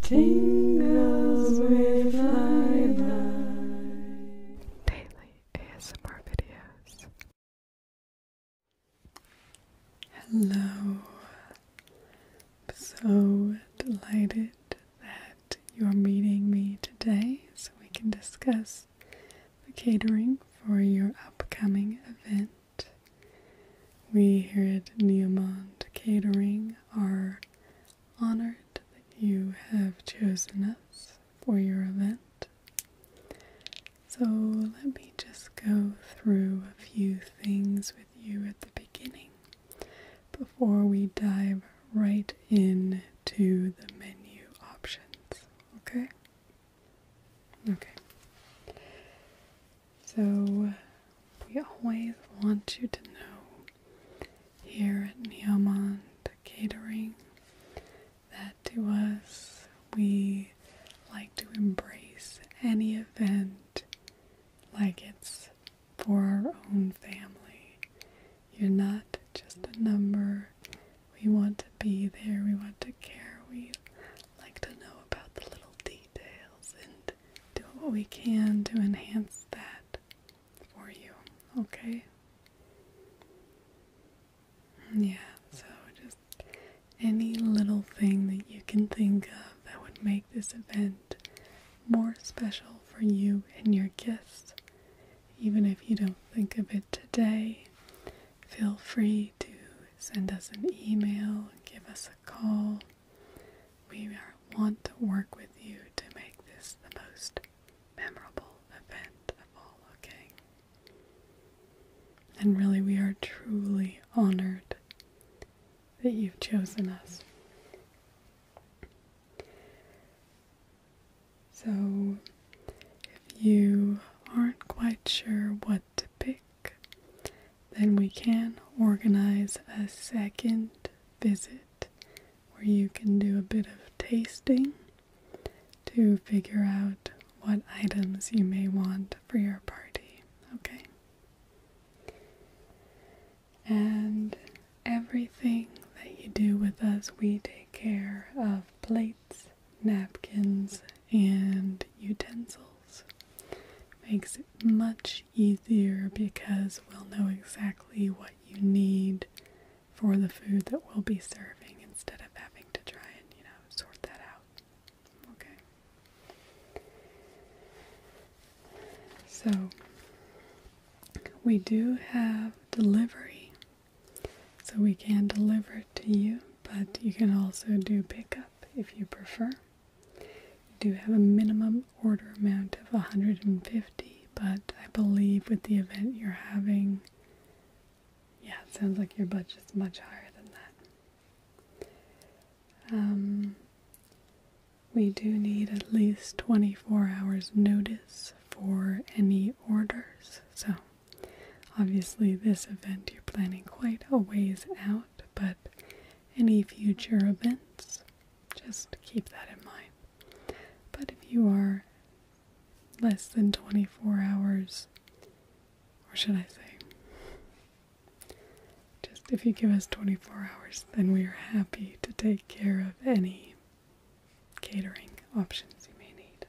Tingles with Lilac. Daily ASMR videos. Hello. so delighted that you're meeting me today so we can discuss the catering for your upcoming event. We here at Neomont Catering are honored that you have chosen us for your event. So let me just go through a few things with you at the beginning before we dive right in to the menu options. Okay? Okay. So we always want you to know here at Neomont Catering that to us we like to embrace any event like it's for our own family. You're not just a number. We want to be there. We want to care. We like to know about the little details and do what we can to enhance that for you, okay? Yeah, so just any little thing that you can think of that would make this event more special for you and your guests. Even if you don't think of it today, feel free to send us an email, give us a call, we want to work with you to make this the most memorable event of all, okay? And really, we are truly honored that you've chosen us. So, if you aren't quite sure what to pick, then we can organize a second visit where you can do a bit of tasting to figure out what items you may want for your party, okay? And everything that you do with us, we take care of plates, napkins, and utensils. Makes it much easier because we'll know exactly what you need for the food that we'll be serving instead of having to try and, you know, sort that out. Okay. So, we do have delivery. So, we can deliver it to you, but you can also do pickup if you prefer. You do have a minimum order amount of 150, but I believe with the event you're having, yeah, it sounds like your budget's much higher than that. Um, we do need at least 24 hours notice for any orders. So, obviously, this event you're planning quite a ways out, but any future events. Just keep that in mind. But if you are less than 24 hours, or should I say, just if you give us 24 hours, then we are happy to take care of any catering options you may need.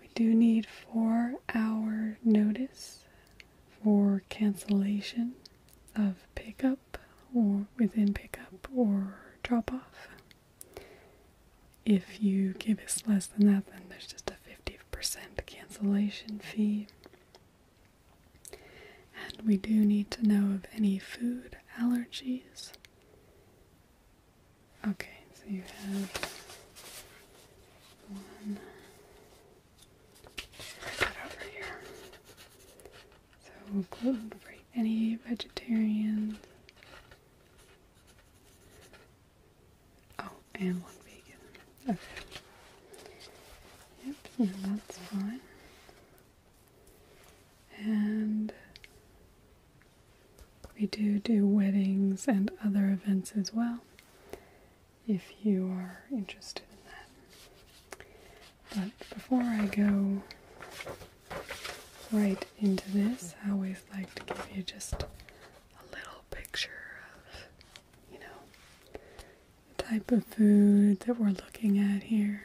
We do need four hour notice for cancellation of pickup or within pickup or drop off. If you give us less than that, then there's just a 50% cancellation fee. And we do need to know of any food allergies. Okay, so you have one over here. So gluten free, any vegetarians. Oh, and one vegan. Okay. Yep, that's fine. And we do do weddings and other events as well, if you are interested in that. But before I go right into this, I always like to give you just a little picture of, you know, the type of food that we're looking at here.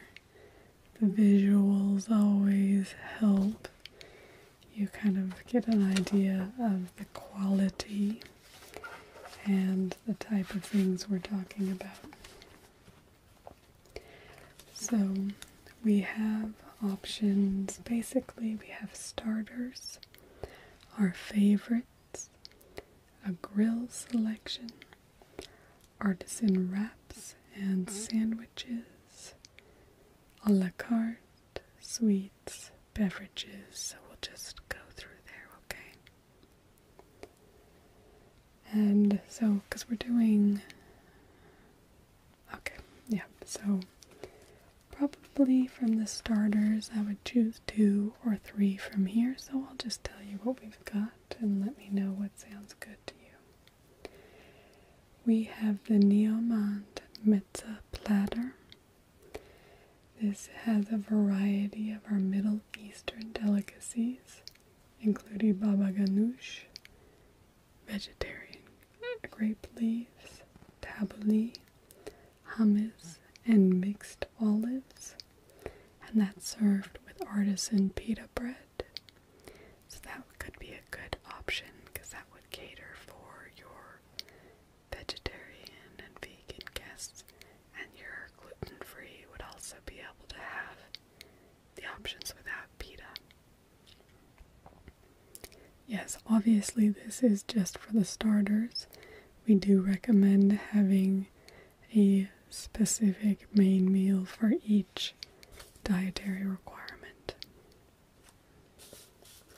The visuals always help you kind of get an idea of the quality and the type of things we're talking about. So we have options. Basically, we have starters, our favorites, a grill selection, artisan wraps and sandwiches, a la carte, sweet beverages, so we'll just go through there, okay? And so, because we're doing. Okay, yeah, so probably from the starters, I would choose two or three from here, so I'll just tell you what we've got and let me know what sounds good to you we have the Neomont Mitzah platter. This has a variety of our Middle Eastern delicacies, including baba ganoush, vegetarian grape leaves, tabbouleh, hummus, and mixed olives. And that's served with artisan pita bread. So that could be a good option because that would cater for your vegetarian and vegan guests, and your gluten free would also be able to have the options without pita. Yes, obviously, this is just for the starters. We do recommend having a specific main meal for each dietary requirement.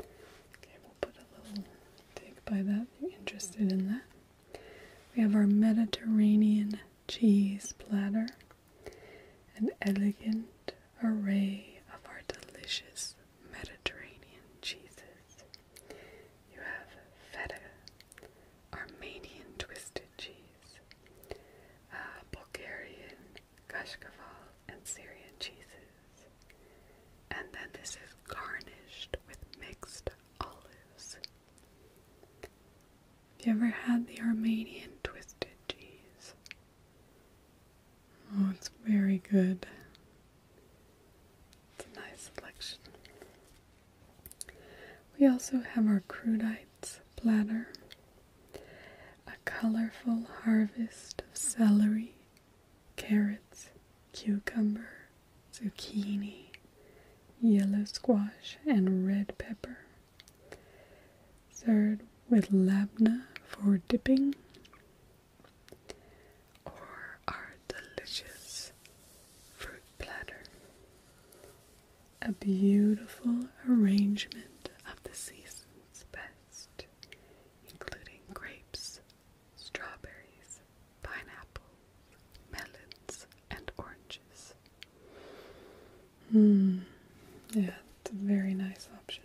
Okay, we'll put a little dig by that you interested in that. We have our Mediterranean cheese platter, an elegant array of our delicious Mediterranean cheeses. You have feta, Armenian twisted cheese, uh, Bulgarian kashkaval, and Syrian cheeses. And then this is garnished with mixed olives. Have you ever had the Armenian twisted cheese? Oh, it's very good. It's a nice selection. We also have our crudites platter. A colorful harvest of celery, carrots, cucumber, zucchini, yellow squash, and red pepper. Served with labna for dipping or our delicious fruit platter. A beautiful arrangement of the season's best including grapes, strawberries, pineapples, melons, and oranges. Mm. Yeah, it's a very nice option.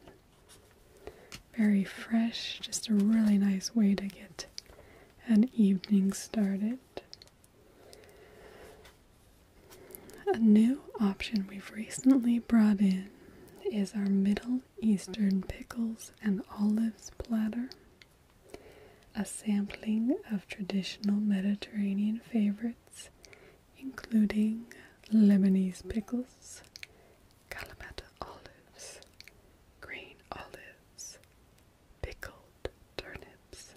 Very fresh, just a really nice way to get an evening started. A new option we've recently brought in is our Middle Eastern Pickles and Olives platter, a sampling of traditional Mediterranean favorites, including Lebanese pickles, Kalamata olives, green olives, pickled turnips,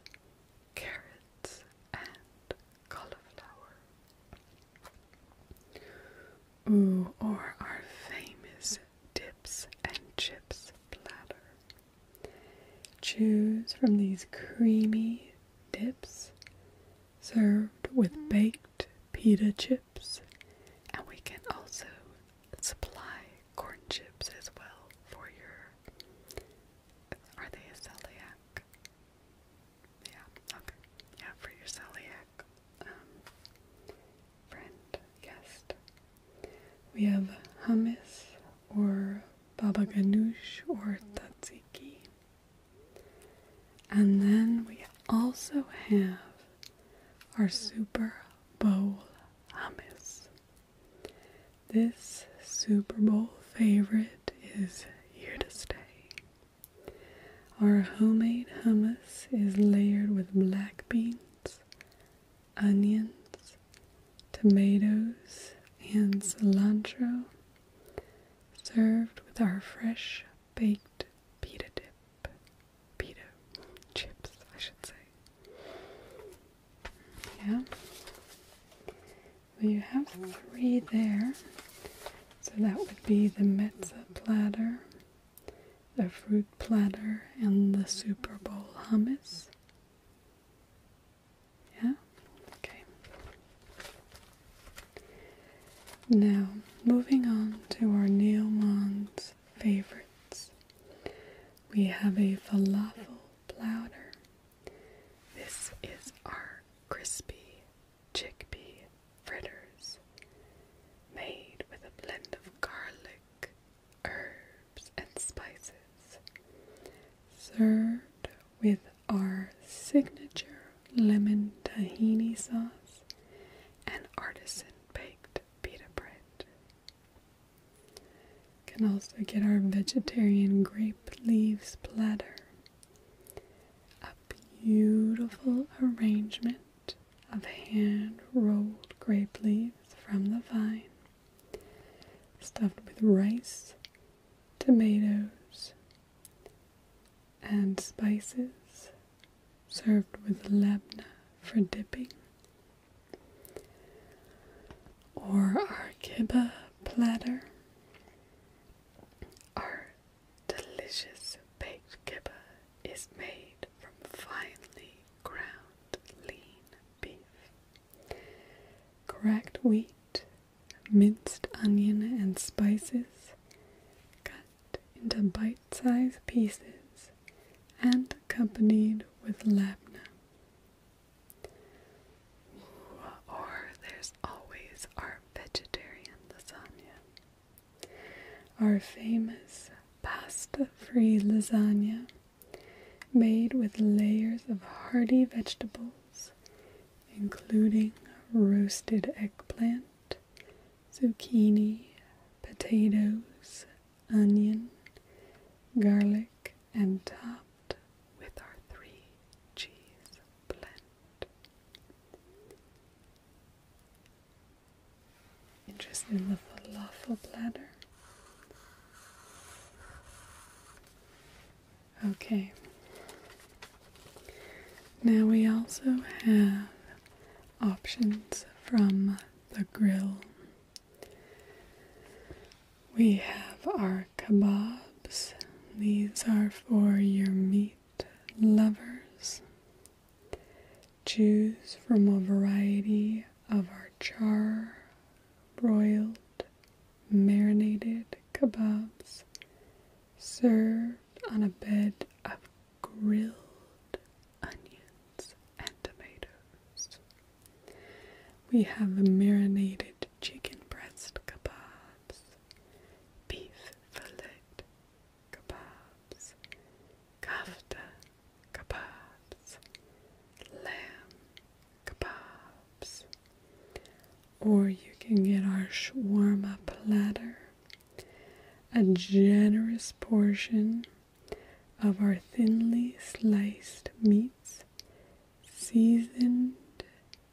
carrots, and cauliflower. Ooh, or our famous dips and chips platter. Choose from these creamy dips served with baked pita chips, and we can also supply corn chips as well for your. Are they a celiac? Yeah, okay. Yeah, for your celiac um, friend, guest. We have hummus or baba ganoush or tzatziki. And then we also have our Super Bowl hummus. This Super Bowl favorite is here to stay. Our homemade hummus is layered with black beans, onions, tomatoes, and cilantro, served with our fresh baked pita dip. Pita chips, I should say. Yeah you have three there. So that would be the mezza platter, the fruit platter, and the Super Bowl hummus. Yeah? Okay. Now, moving on to our Neomons favorites. We have a falafel platter. This is our crispy chickpea fritters made with a blend of garlic, herbs, and spices, served with our signature lemon tahini sauce and artisan baked pita bread. can also get our vegetarian grape leaves platter a beautiful arrangement of hand rolled grape leaves from the vine, stuffed with rice, tomatoes, and spices, served with labna for dipping, or our kibbeh platter. Our delicious baked kibba is made from finely ground lean beef, cracked wheat, minced onion and spices, cut into bite-sized pieces, and accompanied with labneh. Or there's always our vegetarian lasagna. Our famous pasta free lasagna, made with layers of hearty vegetables, including roasted eggplant, zucchini, potatoes, onion, garlic, and top with our three cheese blend. Interested in the falafel platter? Okay. Now we also have options from the grill. We have our Kabobs. These are for your meat lovers. Choose from a variety of our char, broiled, marinated kabobs, served on a bed of grilled onions and tomatoes. We have a marinated chicken breast kebab beef fillet kebabs, kafta kebabs, lamb kebabs. Or you can get our shawarma platter, a generous portion of our thinly sliced meats, seasoned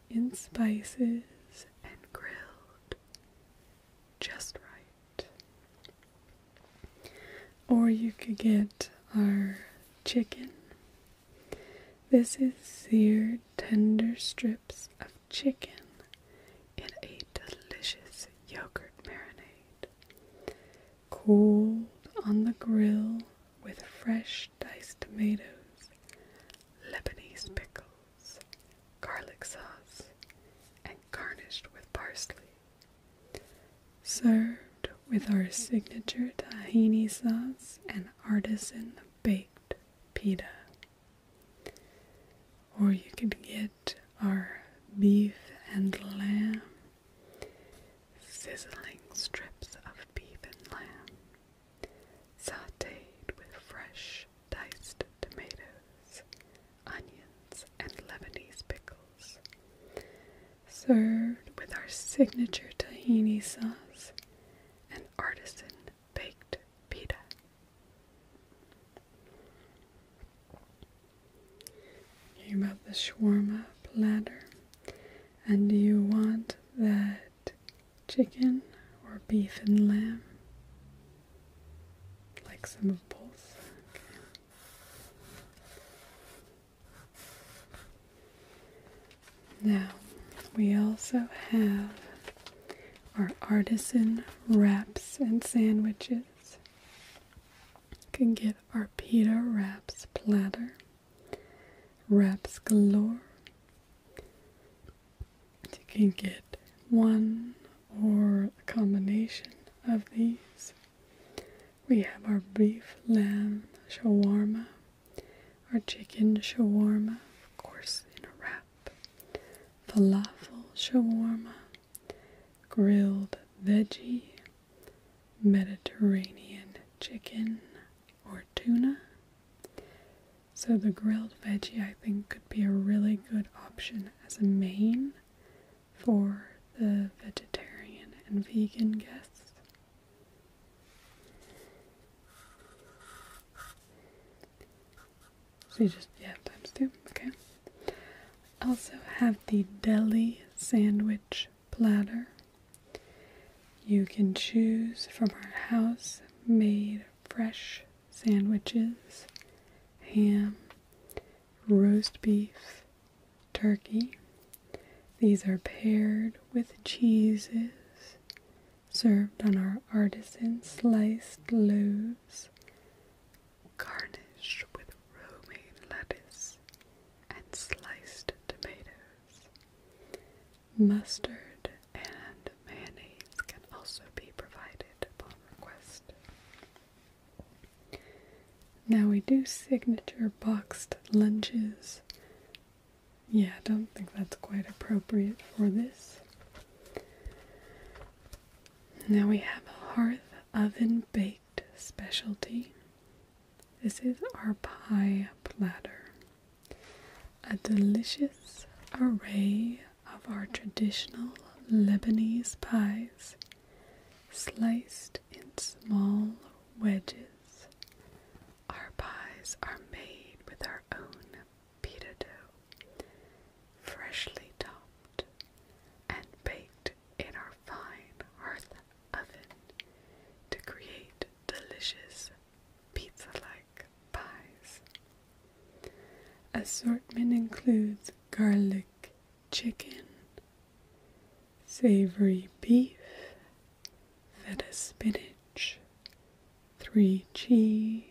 in spices and grilled just right. Or you could get our chicken. This is seared tender strips of chicken in a delicious yogurt marinade. Cooled on the grill with fresh diced tomatoes, Lebanese pickles, garlic sauce, and garnished with parsley. Served with our signature tahini sauce and artisan baked pita. Or you could get our beef and lamb, sizzling strips of beef and lamb sauteed with fresh diced tomatoes, onions, and Lebanese pickles. Served with our signature tahini sauce and artisan baked pita. You about the shawarma platter, and do you want that chicken or beef and lamb? Like some of both. Now we also have our artisan wraps and sandwiches. You can get our pita wraps platter wraps galore. You can get one or a combination of these. We have our beef lamb shawarma, our chicken shawarma, of course, in a wrap, falafel shawarma, grilled veggie, Mediterranean chicken, or tuna. So the grilled veggie I think could be a really good option as a main for the vegetarian and vegan guests. So you just, yeah, times two, okay. Also have the deli sandwich platter. You can choose from our house made fresh sandwiches, ham, roast beef, turkey. These are paired with cheeses served on our artisan sliced loaves, garnished with romaine lettuce and sliced tomatoes. Mustard and mayonnaise can also be provided upon request. Now we do signature boxed lunches. Yeah, I don't think that's quite appropriate for this. Now we have a hearth oven baked specialty. This is our pie platter. A delicious array of our traditional Lebanese pies, sliced in small wedges. Our pies are made with our own pita dough, freshly topped and baked in our fine hearth oven to create delicious pizza like pies. Assortment includes garlic chicken, savory beef, feta spinach, three cheese,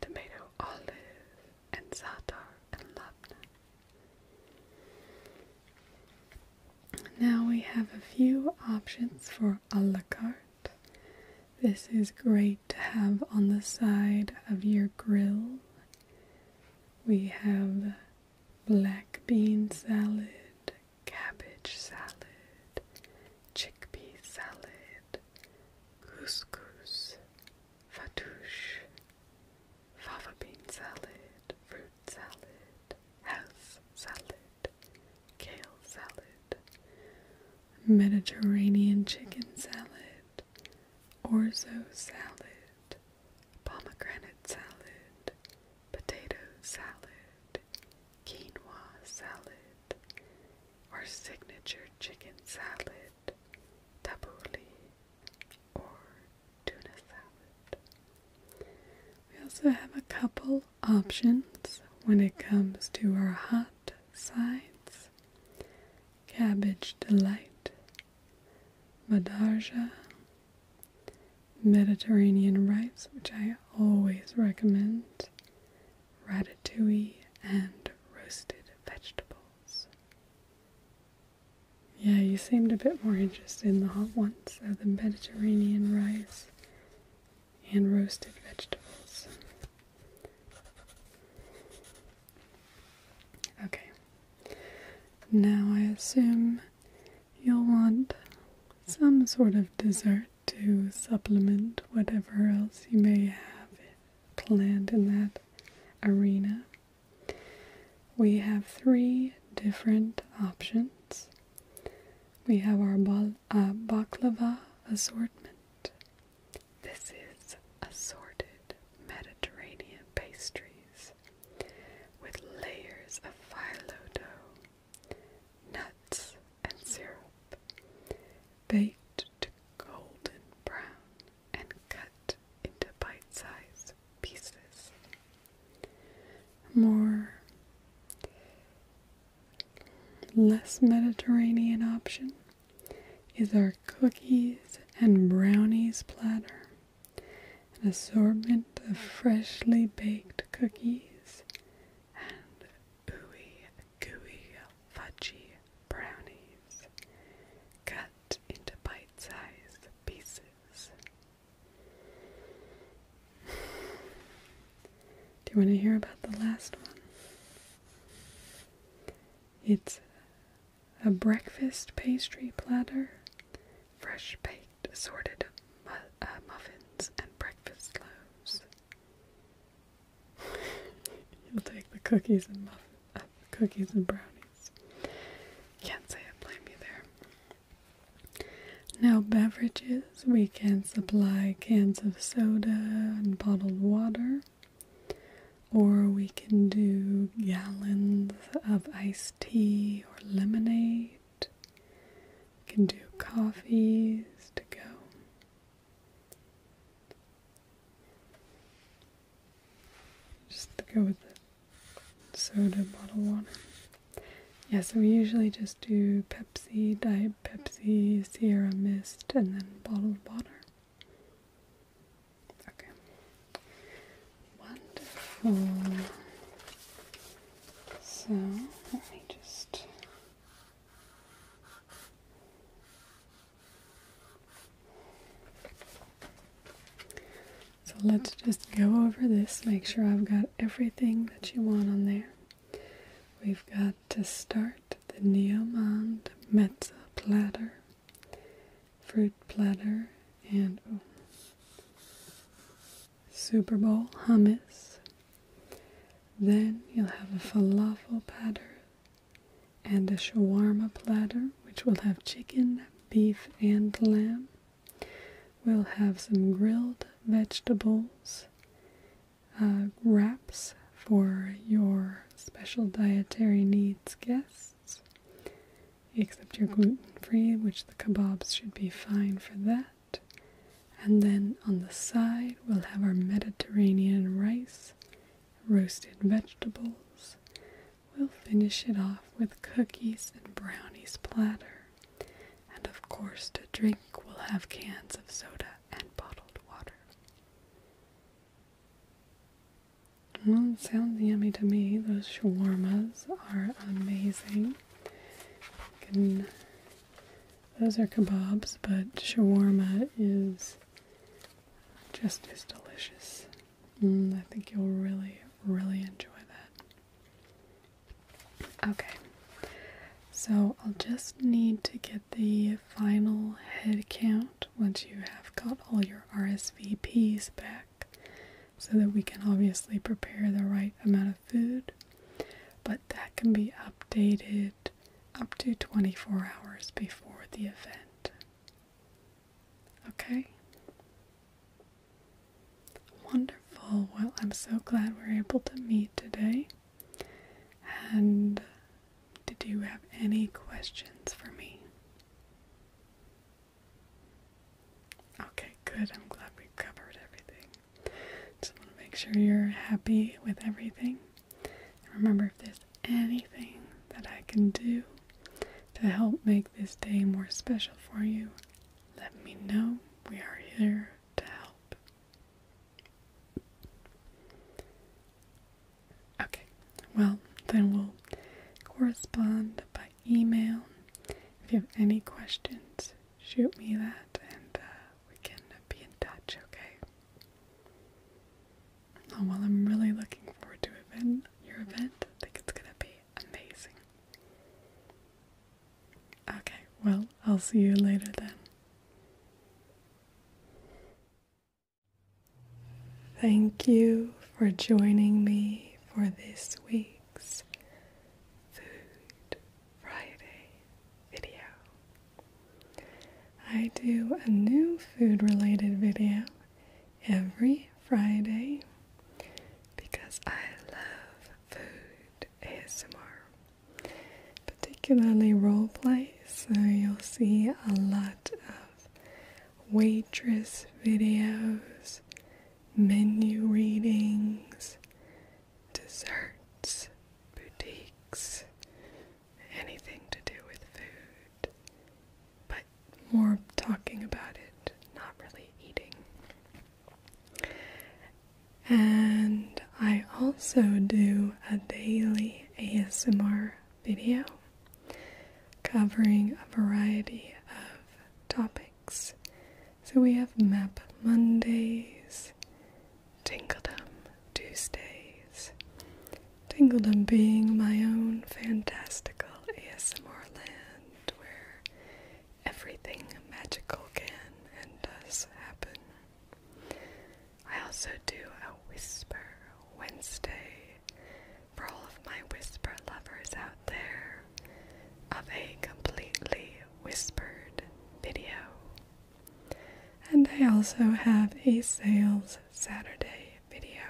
tomato olive, and za'atar and labna. Now we have a few options for a la carte. This is great to have on the side of your grill. We have black bean salad, cabbage salad, chickpea salad, couscous, fatouche, fava bean salad, fruit salad, house salad, kale salad, Mediterranean chicken salad, orzo salad, pomegranate salad, potato salad, quinoa salad, our signature chicken salad, tabbouleh or tuna salad. We also have a couple options when it comes to our hot sides. Cabbage Delight, Madarja, Mediterranean rice, which I always recommend, ratatouille, and roasted vegetables. Yeah, you seemed a bit more interested in the hot ones, so uh, the Mediterranean rice and roasted vegetables. Okay, now I assume you'll want some sort of dessert to supplement whatever else you may have planned in that arena. We have three different options. We have our uh, baklava assortment. This is assorted Mediterranean pastries with layers of phyllo dough, nuts, and syrup, baked to golden brown and cut into bite-sized pieces more less Mediterranean option is our cookies and brownies platter. An assortment of freshly baked cookies and ooey gooey fudgy brownies cut into bite-sized pieces. Do you want to hear about the last one? It's a breakfast pastry platter, fresh baked assorted uh, muffins and breakfast loaves. You'll take the cookies and muff uh, cookies and brownies can't say I blame you there. Now, beverages we can supply cans of soda and bottled water, or we can do gallons of iced tea or lemonade. We can do coffees to go. Just to go with the soda bottle water. Yeah, so we usually just do Pepsi, Diet Pepsi, Sierra Mist, and then bottled water. Okay. Wonderful. So, let me just. So let's just go over this, make sure I've got everything that you want on there. We've got to start the Neomond Mezza platter, fruit platter, and Super Bowl hummus. Then you'll have a falafel platter and a shawarma platter, which will have chicken, beef and lamb. We'll have some grilled vegetables, uh, wraps for your special dietary needs guests, except you're gluten free, which the kebabs should be fine for that. And then on the side, we'll have our Mediterranean rice, roasted vegetables, We'll finish it off with cookies and brownies platter. And of course, to drink, we'll have cans of soda and bottled water. sounds yummy to me. Those shawarmas are amazing. those are kebabs, but shawarma is just as delicious. Mm, I think you'll really, really enjoy that. Okay, so I'll just need to get the final head count once you have got all your RSVPs back so that we can obviously prepare the right amount of food. But that can be updated up to 24 hours before the event. Okay. Wonderful. Well, I'm so glad we are able to meet today. And did you have any questions for me? Okay, good. I'm glad we covered everything. Just want to make sure you're happy with everything. And remember, if there's anything that I can do to help make this day more special for you, let me know we are here to help. Okay, well, then we'll correspond by email. If you have any questions, shoot me that and uh, we can be in touch, okay? Oh well, I'm really looking forward to event, your event. I think it's gonna be amazing. Okay, well, I'll see you later then. Thank you for joining me for this week's Food Friday video. I do a new food related video every Friday because I love food ASMR, particularly role play. So you'll see a lot of waitress videos, menu readings, desserts, boutiques, anything to do with food but more talking about it, not really eating. And I also do a daily ASMR video covering a variety of topics. So we have Map Mondays, Tinkledom Tuesdays, Tingled being my own fantastical ASMR land where everything magical can and does happen. I also do a Whisper Wednesday for all of my whisper lovers out there of a completely whispered video. And I also have a sales Saturday video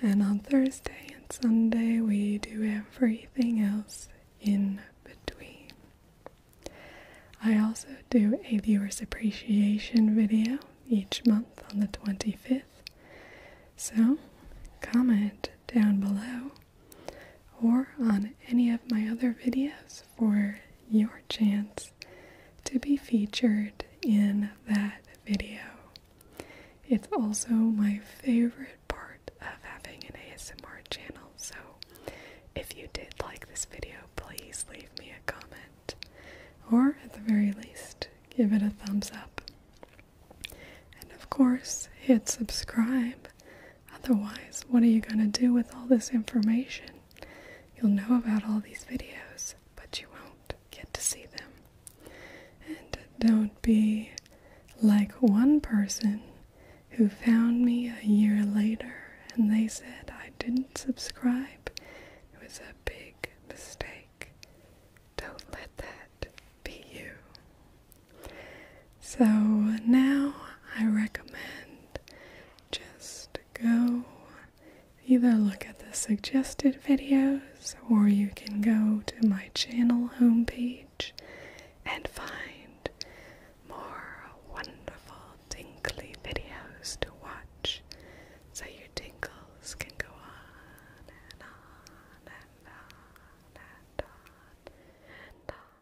and on Thursday and Sunday, we do everything else in between. I also do a viewers appreciation video each month on the 25th. So, comment down below or on any of my other videos for your chance to be featured in that video. It's also my favorite part of having an ASMR channel, so if you did like this video, please leave me a comment. Or at the very least, give it a thumbs up. And of course, hit subscribe. Otherwise, what are you going to do with all this information? You'll know about all these videos, but you won't get to see them. And don't be like one person who found me a year later and they said I didn't subscribe. It was a big mistake. Don't let that be you. So now I recommend just go either look at the suggested videos or you can go to my channel homepage and find more wonderful tinkly videos to watch so your tinkles can go on and on and on and on and on.